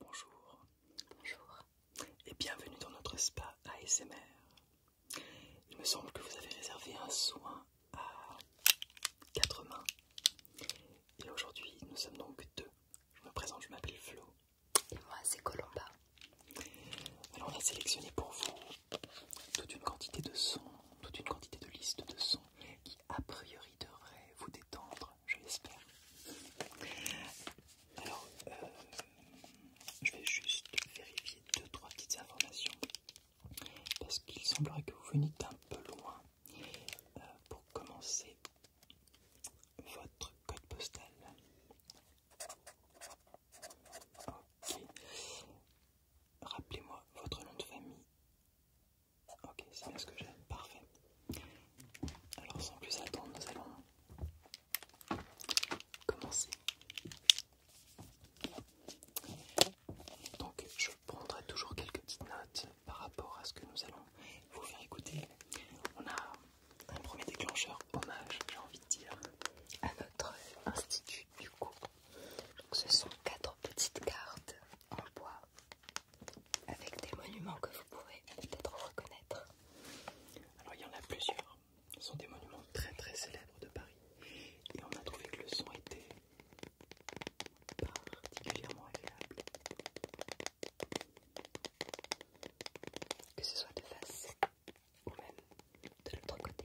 Bonjour. Bonjour. Et bienvenue dans notre spa ASMR. Il me semble que vous avez réservé un soin à quatre mains. Et aujourd'hui, nous sommes donc deux. Je me présente, je m'appelle Flo. Et moi, c'est Colomba. Alors, on a sélectionné pour vous toute une quantité de sons, toute une quantité de listes de sons qui a priori devraient vous détendre, je l'espère. Alors, euh, je vais juste vérifier deux trois petites informations parce qu'il semblerait que vous veniez d'un peu loin. Euh, pour commencer, votre code postal. Ok. Rappelez-moi votre nom de famille. Ok, c'est bien ce que j'ai. Parfait. Alors sans plus attendre, nous allons commencer. Donc je prendrai toujours quelques petites notes par rapport à ce que nous allons vous faire écouter. On a un premier déclencheur hommage, j'ai envie de dire, à notre institut du coup ce sont quatre petites cartes en bois avec des monuments que vous pouvez peut-être reconnaître. Alors il y en a plusieurs. Ce sont des monuments très très célèbres de Paris. Et on a trouvé que le son était particulièrement agréable. Que ce soit de face ou même de l'autre côté.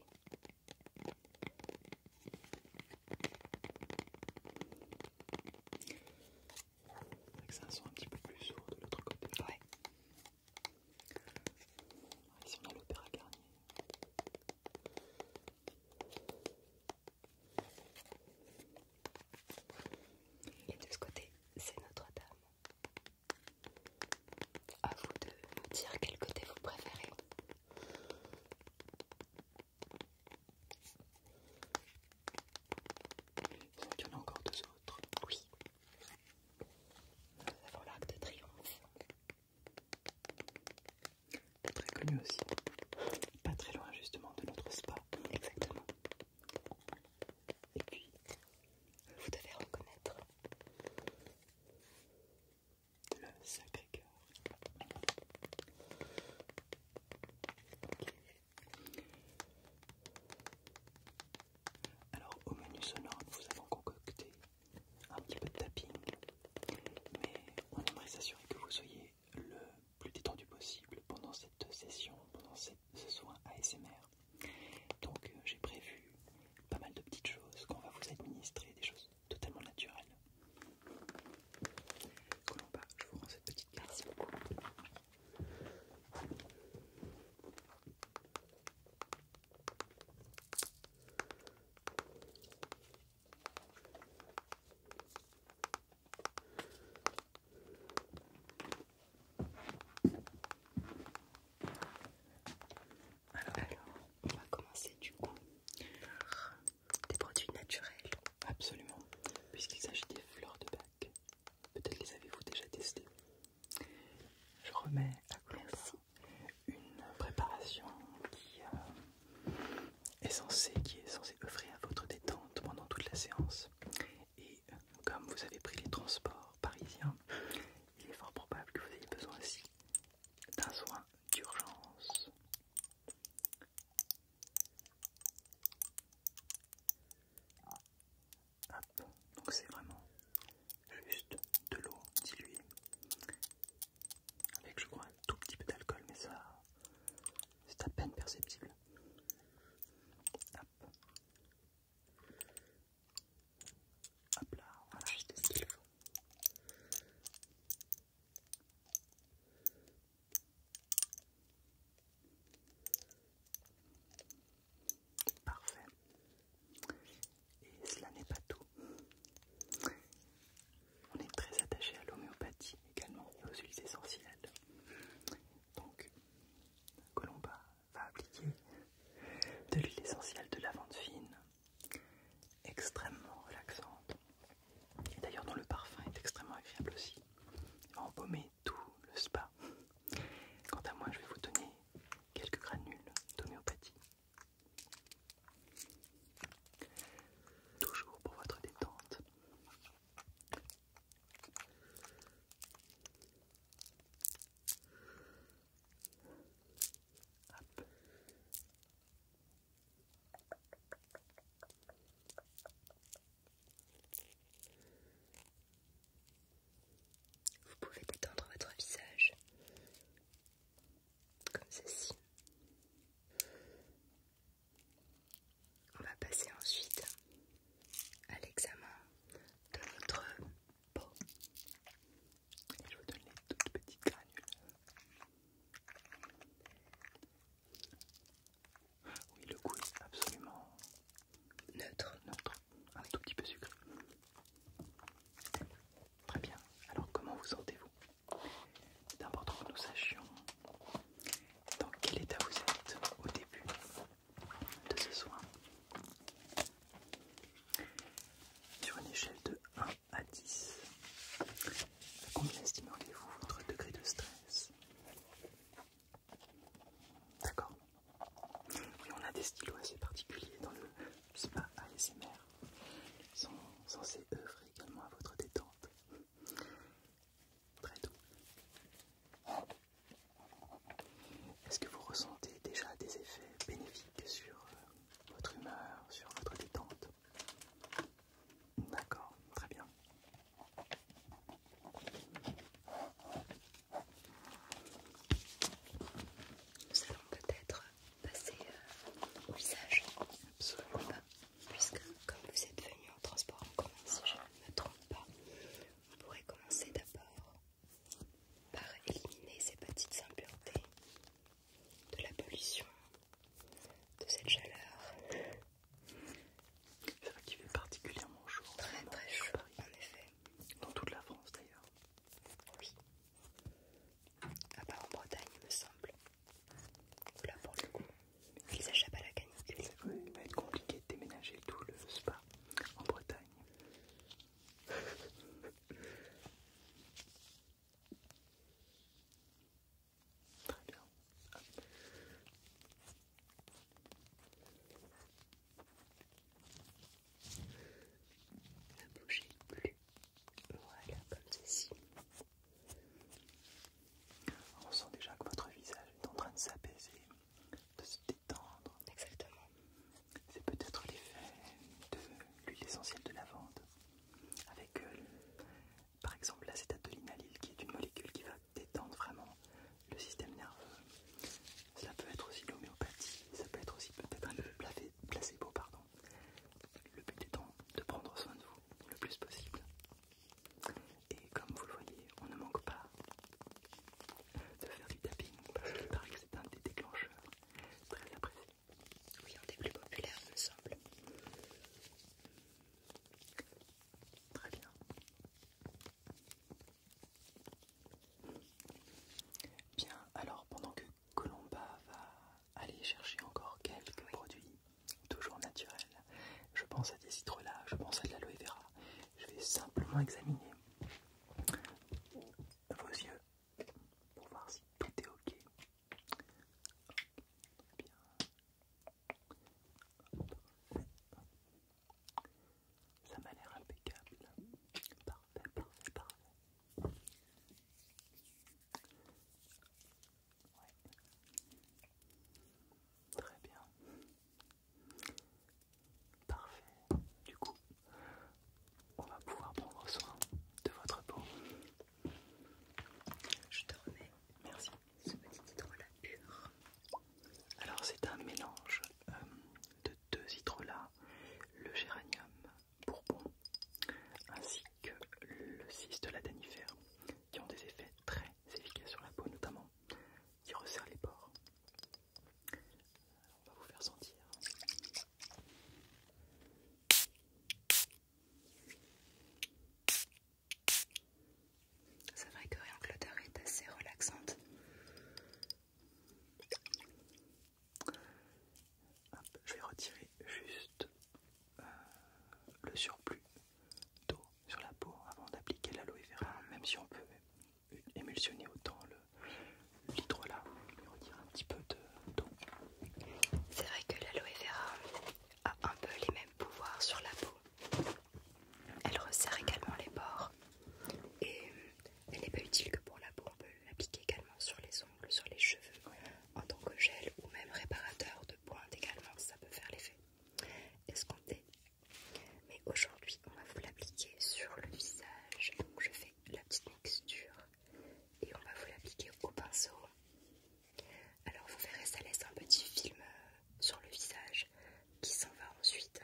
C'est un son un petit peu plus sourd de l'autre côté. Ouais. on a l'opéra Garnier. Et de ce côté, c'est Notre-Dame. A vous de nous dire quel côté vous préférez. Il y en a encore deux autres. Oui. Nous avons l'arc de triomphe. Très connu aussi. Pas très loin justement de notre spa. Exactement. Et puis, vous devez reconnaître le Sacré-Cœur. Alors au menu sonore, nous vous avons concocté un petit peu de tapping, mais on aimerait s'assurer que vous soyez le plus détendu possible pendant cette session, pendant ce soin ASMR. Donc euh, j'ai prévu pas mal de petites choses qu'on va vous administrer, des choses totalement naturel. Colomba, je vous rends cette petite carte. Merci alors, on va commencer du coup par des produits naturels. Absolument, puisqu'il s'agit des fleurs de bac. Peut-être les avez-vous déjà testées. Je remets à vous une préparation qui, euh, est censée, qui est censée à votre détente pendant toute la séance. Et comme vous avez pris les transports parisiens, il est fort probable que vous ayez besoin aussi d'un soin d'urgence. donc c'est vraiment juste de l'eau diluée avec je crois un tout petit peu d'alcool, mais ça c'est à peine perceptible. Hop, Hop là, voilà, Parfait. Et cela n'est pas tout. On est très attaché à l'homéopathie également et aux huiles essentielles. Donc, Colomba va appliquer de l'huile essentielle de lavande fine extrêmement relaxante. et D'ailleurs, dont le parfum est extrêmement agréable aussi. Il embaumer tout le spa. Quant à moi, je vais vous donner quelques granules d'homéopathie. Toujours pour votre détente. Hop. Vous pouvez détendre votre visage comme ceci. On va passer ensuite à l'examen de votre peau. Je vous donne les toutes petites granules oui, le goût est absolument neutre, neutre, un tout petit peu sucré. Très bien. Alors, comment vous sentez-vous C'est important que nous sachions dans quel état vous êtes au début de ce soin. Sur une échelle de 1 à 10, à combien estimeriez-vous votre degré de stress D'accord. Oui, on a des stylos assez particuliers dans le spa ASMR. Ils sont censés œuvrer également à votre détente. Très doux. Est-ce que vous ressentez déjà des effets bénéfiques sur euh, votre humeur, sur votre détente D'accord, très bien. Nous allons peut-être passer euh, au visage, absolument pas, puisque comme vous êtes venu en transport en commun, si je ne me trompe pas, on pourrait commencer d'abord par éliminer ces petites impuretés de la pollution, de cette chaleur. C'est vrai qu'il fait particulièrement chaud. Très très chaud, en effet. Dans toute la France d'ailleurs. Oui. À part en Bretagne, il me semble. Là pour le coup, ils achètent à la canicule. il va être compliqué de déménager tout le spa en Bretagne. Très bien. Ne plus. comme ceci. On sent déjà que votre visage est en train de s'apaiser, de se détendre. Exactement. C'est peut-être l'effet de l'huile essentielle de vente avec euh, par exemple l'inalyle qui est une molécule qui va détendre vraiment le système nerveux. ça peut être aussi l'homéopathie, ça peut être aussi peut-être un placebo, pardon. Le but étant de prendre soin de vous le plus possible. Et comme vous le voyez, on ne manque pas de faire du tapping parce que c'est un des déclencheurs très précis oui, un des plus populaires, me semble. Très bien. Bien, alors pendant que Colomba va aller chercher encore quelques produits toujours naturels, je pense à des citrons-là, je pense à de l'aloe vera. Je vais simplement examiner vos yeux pour voir si tout est ok. Ça m'a l'air impeccable. Parfait, parfait, parfait. Très bien. Parfait. Du coup, on va pouvoir prendre soin de votre peau. Je te remets Merci. ce petit hydrolat pur. Alors c'est un mélange euh, de deux hydrolats, le géranium bourbon ainsi que le la ladanifère qui ont des effets très efficaces sur la peau notamment qui resserrent les pores. On va vous faire sentir. C'est vrai que rien est assez relaxante. je vais retirer juste euh, le surplus d'eau sur la peau avant d'appliquer l'aloe vera, même si on peut émulsionner autant l'hydrolat, vais retirer un petit peu d'eau. c'est vrai que l'aloe vera a un peu les mêmes pouvoirs sur la peau. Elle resserre également les bords et euh, elle n'est pas utile que pour la peau, on peut l'appliquer également sur les ongles, sur les cheveux en tant que gel ou même réparateur de pointe également, ça peut faire l'effet escompté. Mais aujourd'hui on va vous l'appliquer sur le visage, donc je fais la petite mixture et on va vous l'appliquer au pinceau alors vous verrez, ça laisse un petit film euh, sur le visage qui s'en va ensuite.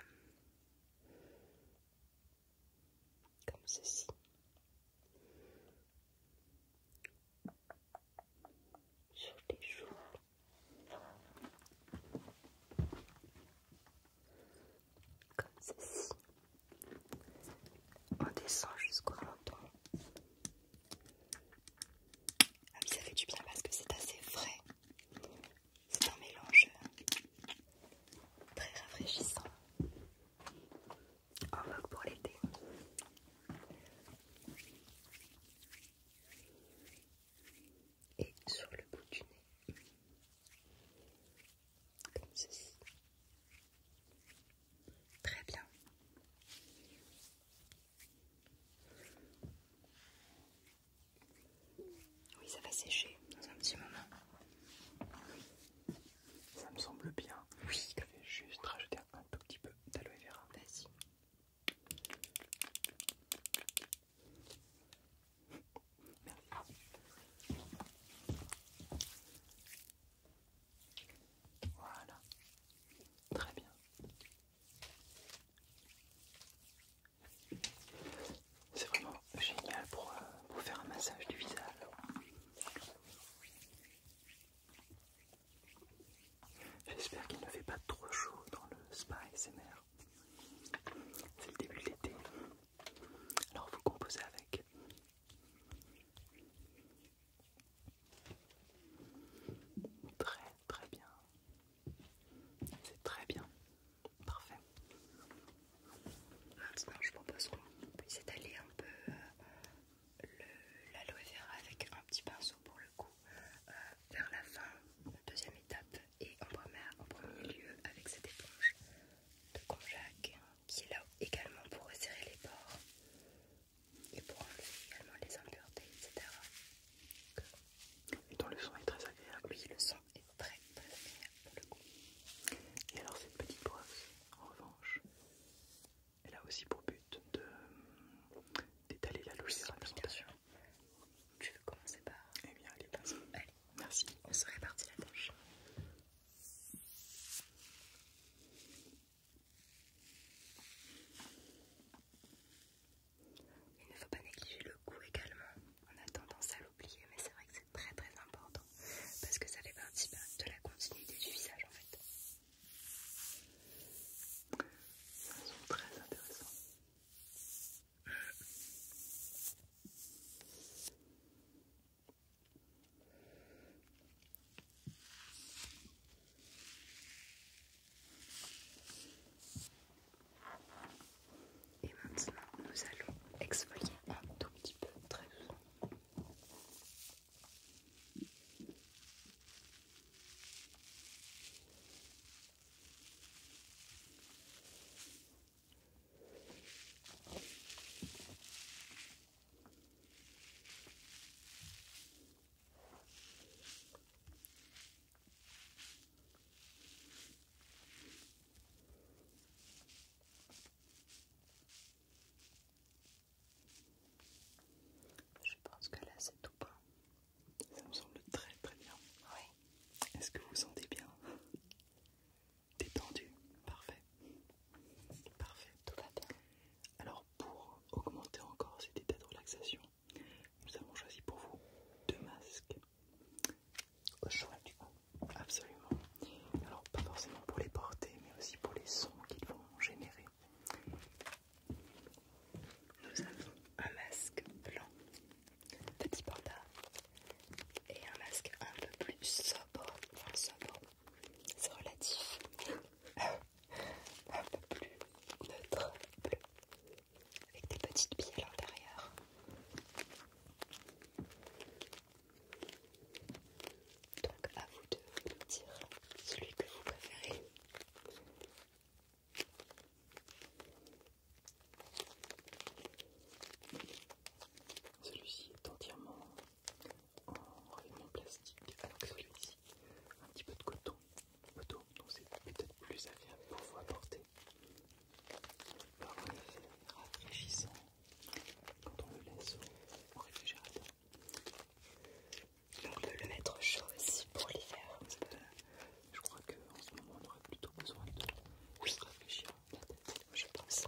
Comme ceci. Sur les joues. Comme ceci. On descend jusqu'au menton. Ah oui, ça fait du bien parce que c'est assez frais. C'est un mélange euh, très rafraîchissant. En vogue pour l'été. Et sur le bout du nez. Comme ceci. Très bien. Oui, ça va sécher dans un petit moment. Ça me semble bien. Oui. Je vais juste rajouter un tout petit peu d'aloe vera. Vas-y. Merci. Voilà. Très bien. C'est vraiment génial pour, vous euh, faire un massage du visage. J'espère qu'il ne fait pas trop chaud dans le spa SMR. C'est le début de l'été. Alors vous composez avec. Très très bien. C'est très bien. Parfait. Maintenant, ah, je propose qu'on puisse étaler un peu euh, la l'aloe vera avec un petit pinceau pour le coup euh, vers la fin, la deuxième étape, et en premier, en premier lieu avec cette éponge de Conjac qui est là également pour resserrer les bords et pour enlever également les impuretés, etc. Et donc le son est très agréable. Oui, le son est très agréable le coup. Et alors cette petite brosse, en revanche, elle a aussi pour but de d'étaler la louche. bien sûr. Tu veux commencer par Eh bien, allez, passe. Allez, merci. On se répartit la tâche. Il ne faut pas négliger le goût également. On a tendance à l'oublier, mais c'est vrai que c'est très très important parce que ça fait partie bah, de la continuité du visage en fait. très intéressant. Mmh. Et maintenant, nous allons exfolier un tout petit peu, très doucement. Je pense que là c'est tout bon. Ça me semble très très bien. Oui. Est-ce que vous vous sentez bien Détendu Parfait. Parfait. Tout va bien. Alors pour augmenter encore cet état de relaxation, nous avons choisi pour vous deux masques au choix du coup, absolument. Alors pas forcément pour les porter, mais aussi pour les sons qu'ils vont générer. Nous avons un masque blanc, petit panda, et un masque un peu plus sobre, c'est relatif un peu plus neutre bleu avec des petites billes à l'intérieur. Donc à vous de me dire celui que vous préférez. Celui-ci est entièrement en rayonnement plastique, alors que celui un petit peu de coton, coton donc c'est peut-être plus agréable pour vous apporter. le rafraîchissant quand on le laisse au réfrigérateur. On peut le mettre chaud aussi pour l'hiver. Euh, je crois qu'en ce moment on aurait plutôt besoin de se rafraîchir la tête, je pense.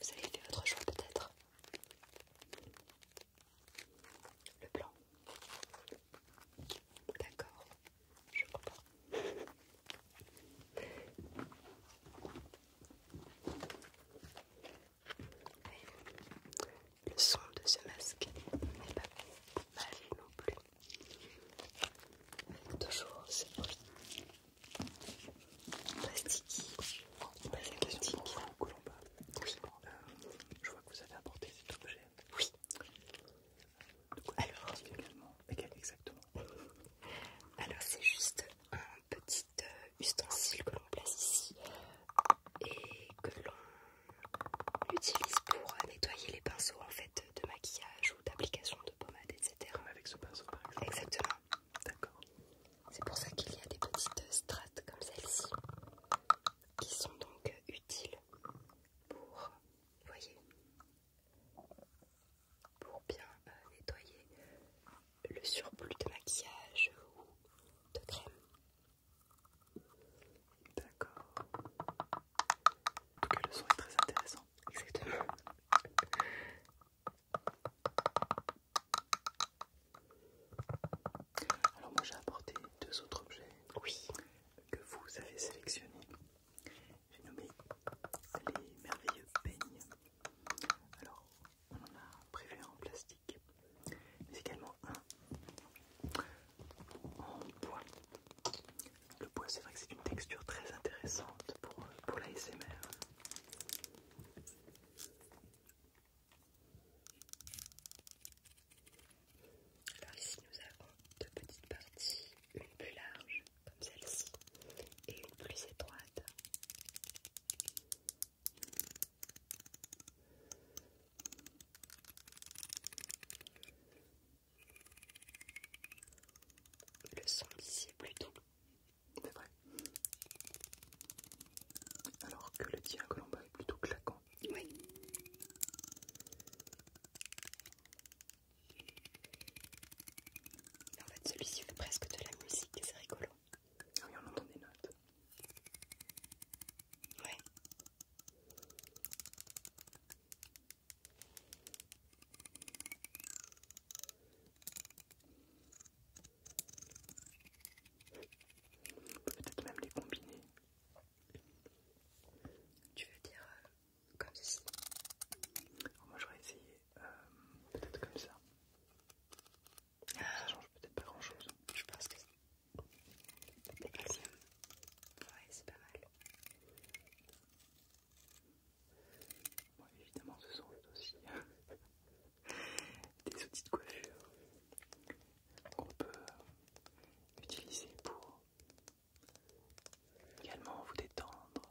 Vous avez fait votre choix peut-être Le blanc. D'accord, je comprends le son de ce masque n'est pas mal non plus. Avec toujours ce bruit plastique. pas Colomba, euh, je vois que vous avez apporté cet objet. Oui. De quoi ressemble également, exactement. Alors, c'est juste un petit de euh, ustensiles que l'on place ici et que l'on utilise pour euh, nettoyer les pinceaux en fait de maquillage ou d'application de pommade, etc. avec ce pinceau Exactement. D'accord. C'est pour ça qu'il y a des petites euh, strates comme celle-ci qui sont donc utiles pour, voyez, pour bien nettoyer le surplus de maquillage ou de crème. D'accord. En tout cas, le son est très intéressant. Exactement. Alors moi j'ai apporté deux autres objets oui. que vous avez sélectionnés. J'ai nommé les merveilleux peignes. Alors on en a prévu un en plastique, mais également un en bois. Le bois, c'est vrai que c'est une texture très intéressante pour, pour l'ASMR. Alors ici nous avons deux petites parties, une plus large comme celle-ci et une plus étroite. Le son ici est plutôt C'est vrai. Alors que le tien bas est plutôt claquant. Oui. En fait celui-ci fait presque de la musique et c'est rigolo. Ah oui, on entend des notes. Ouais. On peut peut-être même les combiner. Tu veux dire euh, comme ceci oh, Moi j'aurais essayé euh, peut-être comme ça. Ça ça change peut-être pas grand chose. Je pense que c'est Ouais, c'est pas mal. évidemment, ce sont aussi des outils de coiffure qu'on peut euh, utiliser pour également vous détendre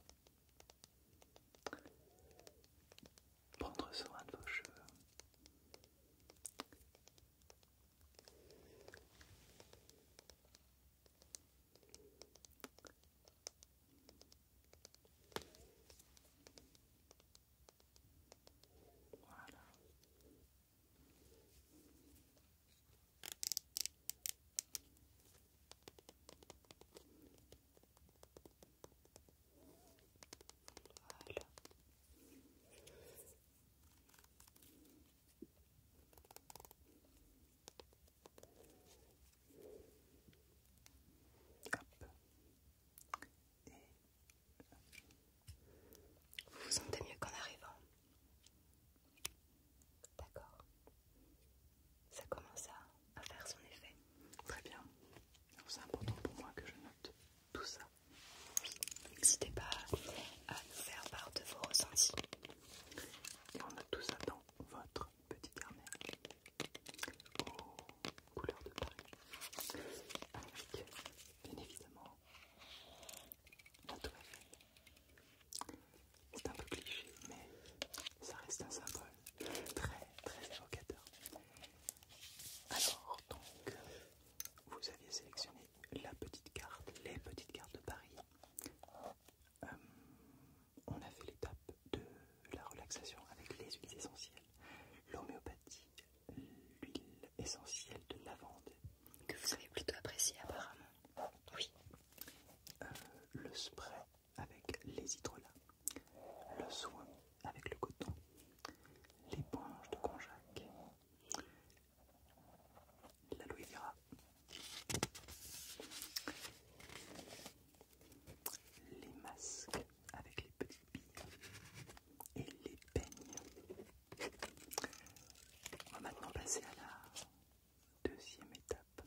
prendre soin de vos cheveux. Voilà vous vous sentez mieux qu'en arrivant D'accord. Ça commence à à faire son effet. Très bien. C'est important pour moi que je note tout ça. n'hésitez pas à nous faire part de vos ressentis. Et on note tout ça dans votre petit carnet aux couleurs de Paris. Avec, bien évidemment, la C'est un peu cliché, mais ça reste un symbole très très évocateur. Alors, donc, vous aviez sélectionné la petite carte, les petites cartes de Paris. Euh, on a fait l'étape de la relaxation avec les huiles essentielles, l'homéopathie, l'huile essentielle de lavande. Que vous avez plutôt apprécié apparemment. Oui. Euh, le spray avec les hydrolats le soin avec le coton, l'éponge de konjac, l'aloe vera, les masques avec les petites billes et les peignes. On va maintenant passer à la deuxième étape.